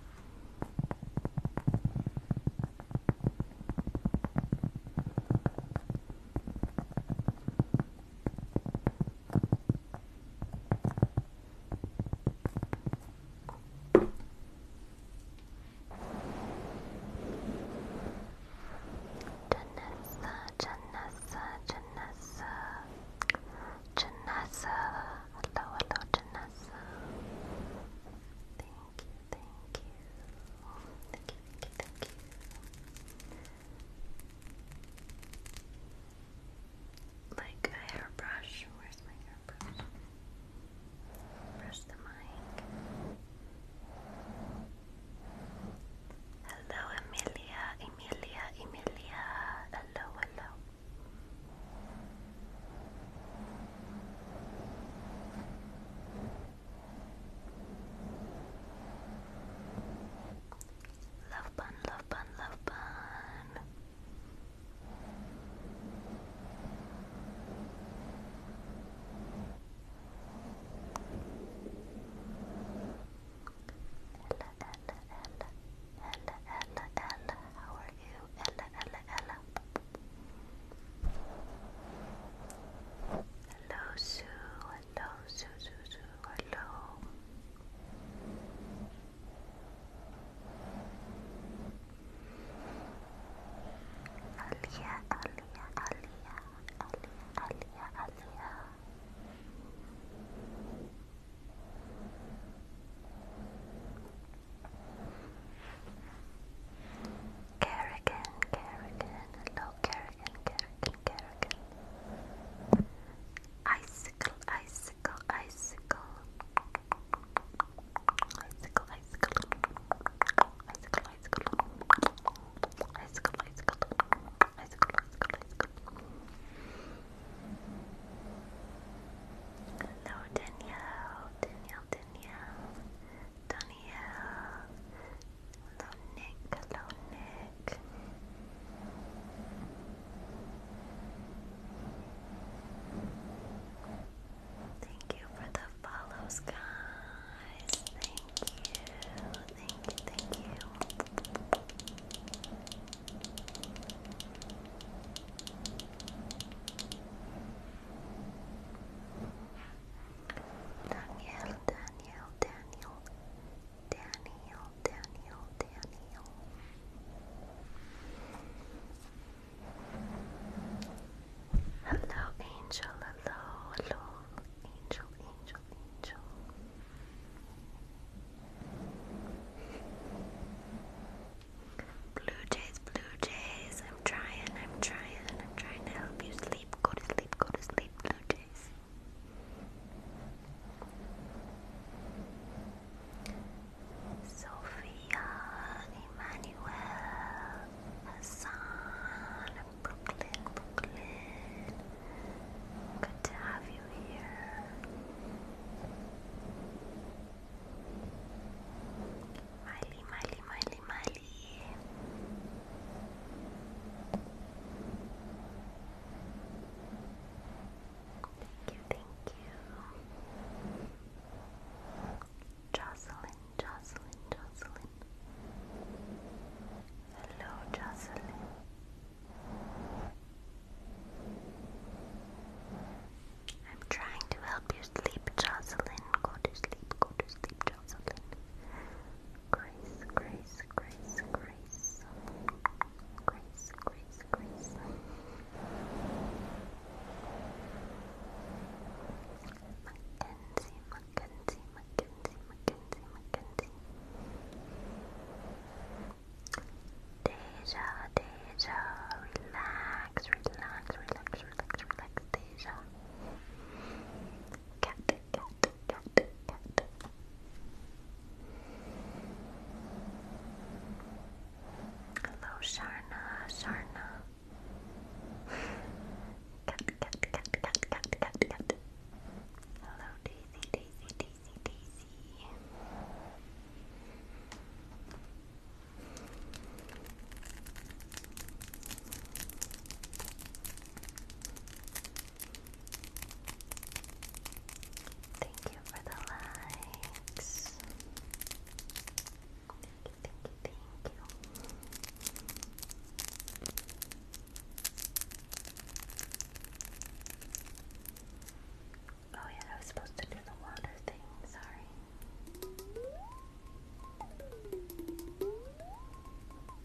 Janessa, Janessa, Janessa, Janessa. Hello, hello, Janessa. Thank you, thank you, thank you, thank you, thank you. Like a hairbrush. Where's my hairbrush? Press the mic. Hello, Emilia, Emilia, Emilia. Hello, hello. Love bun, love bun, love bun. Ella, Ella, Ella, Ella, Ella, Ella, how are you? Ella, Ella, Ella. Hello, Sue hello, Suzuzu, hello. Alia, Alia, Alia, Alia, Alia, Alia. Kerrigan, Kerrigan, hello Kerrigan, Kerrigan again. Icicle, icicle, icicle. Icicle, icicle. Icicle, icicle. Icicle, icicle. Icicle, icicle, icicle. Hello, Danielle, Danielle, Danielle, Danielle, Hello, Nick. Hello, Nick. Thank you for the follows, guys. Thank you. Thank you. Thank you. Daniel, Daniel, Daniel. Daniel, Daniel, Daniel. Hello, Angel. Hello, hello, Angel, Angel, Angel. Blue Jays, Blue Jays. I'm trying, I'm trying, I'm trying to help you sleep. Go to sleep, go to sleep, Blue Jays. Sophia, Emmanuel, Hassan, Brooklyn, Brooklyn. Good to have you here. Miley, Miley, Miley, Miley. Thank you, thank you. Jocelyn, Jocelyn, Jocelyn. Hello, Jocelyn. I'm trying to help you sleep, Jocelyn. Go to sleep, go to sleep, Jocelyn. Grace, grace, grace, grace. Grace, grace, grace. Mackenzie, Mackenzie, Mackenzie, Mackenzie, Mackenzie. Deja, Deja, relax, relax, relax, relax, relax, Deja cat, cat, Hello, Sharna, Sharna. Hello, Daisy, Daisy, Daisy, Daisy. Thank you for the likes. Thank you, thank you, thank you. Oh, yeah, I was supposed to do the water thing, sorry.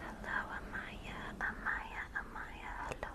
Hello, Amaya, Amaya, Amaya, hello.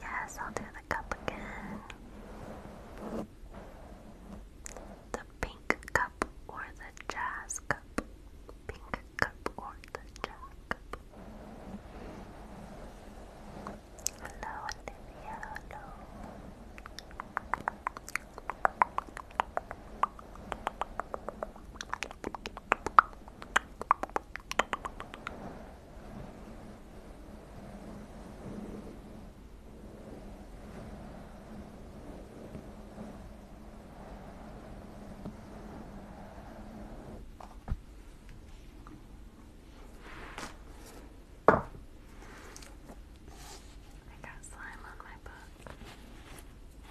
Yes, I'll do the cup again the pink cup or the jazz cup? Pink cup or the jazz cup? Hello, Olivia. Hello, I got slime on my book.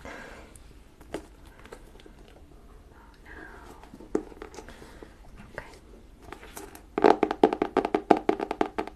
Oh no. Okay.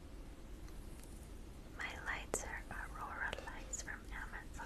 My lights are Aurora lights from Amazon.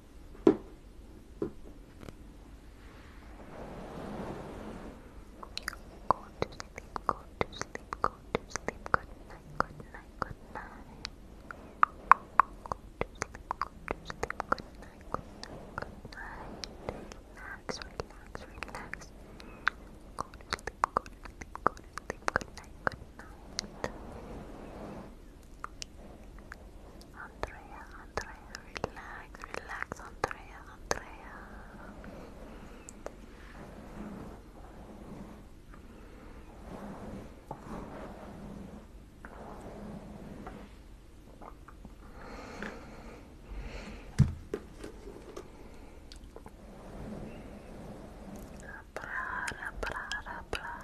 Go to sleep, go to sleep, go to sleep. Good night, good night, good night. Go to sleep, go to sleep. Good night, good night, good night. Relax, relax, relax. Go to sleep, go to sleep, go to sleep. Good night, good Andrea, Andrea, relax, relax, Andrea, Andrea. Prar, prar, prar.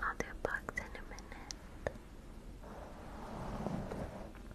I'll do a box in a minute.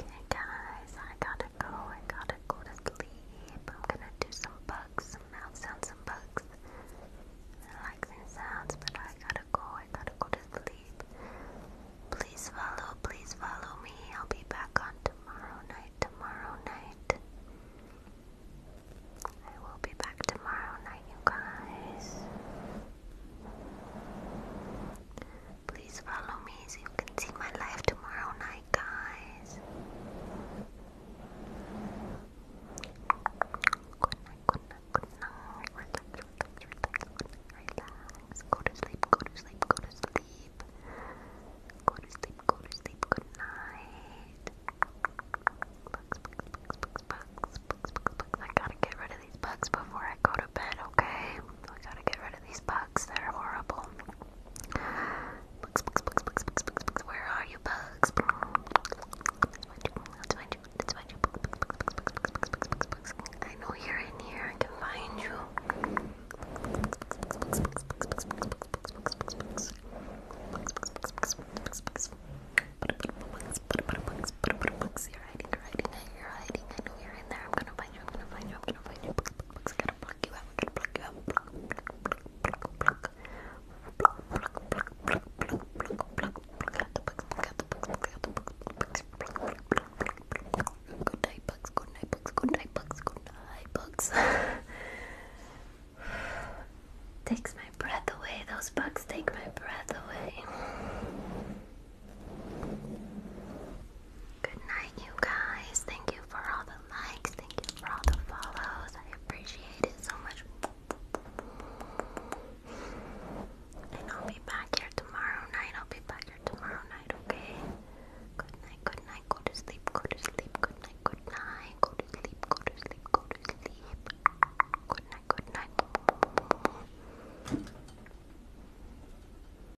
Okay guys, I gotta go. I gotta go to sleep. I'm gonna do some bugs, some mouth sounds, some bugs. I like these sounds, but I gotta go. I gotta go to sleep. Please follow, please follow me. I'll be back on tomorrow night, tomorrow night. I will be back tomorrow night, you guys. Please follow me so you can see my live tomorrow night, guys. Good night, good night, good night. Relax, relax, relax, relax. Go to sleep, go to sleep, go to sleep. Go to sleep, go to sleep, good night. Bugs, bugs, bugs, bugs, bugs, bugs, bugs, bugs. I gotta get rid of these bugs before I go to bed, okay? I gotta get rid these bugs they are horrible. Bugs, bugs, bugs, bugs, bugs, bugs, bugs. Where are you, bugs? I know you're in here. I can find you. bugs, bugs, bugs, bugs, bugs, bugs. Bugs, bugs, bugs, bugs, bugs, bugs. Bugs, bugs, bugs, bugs, bugs. You're hiding. You're hiding. You're hiding. I know you're in there. I'm gonna find you. I'm gonna find you. I'm gonna find you. Looks bugs. Pluck bugs. Pluck bugs. Pluck, bugs. Takes my breath away. Those bugs take my breath away. Good night, you guys. Thank you for all the likes. Thank you for all the follows. I appreciate it so much. And I'll be back here tomorrow night. I'll be back here tomorrow night, okay? Good night, good night. Go to sleep, go to sleep. Good night, good night. Go to sleep, go to sleep, go to sleep. Good night, good night.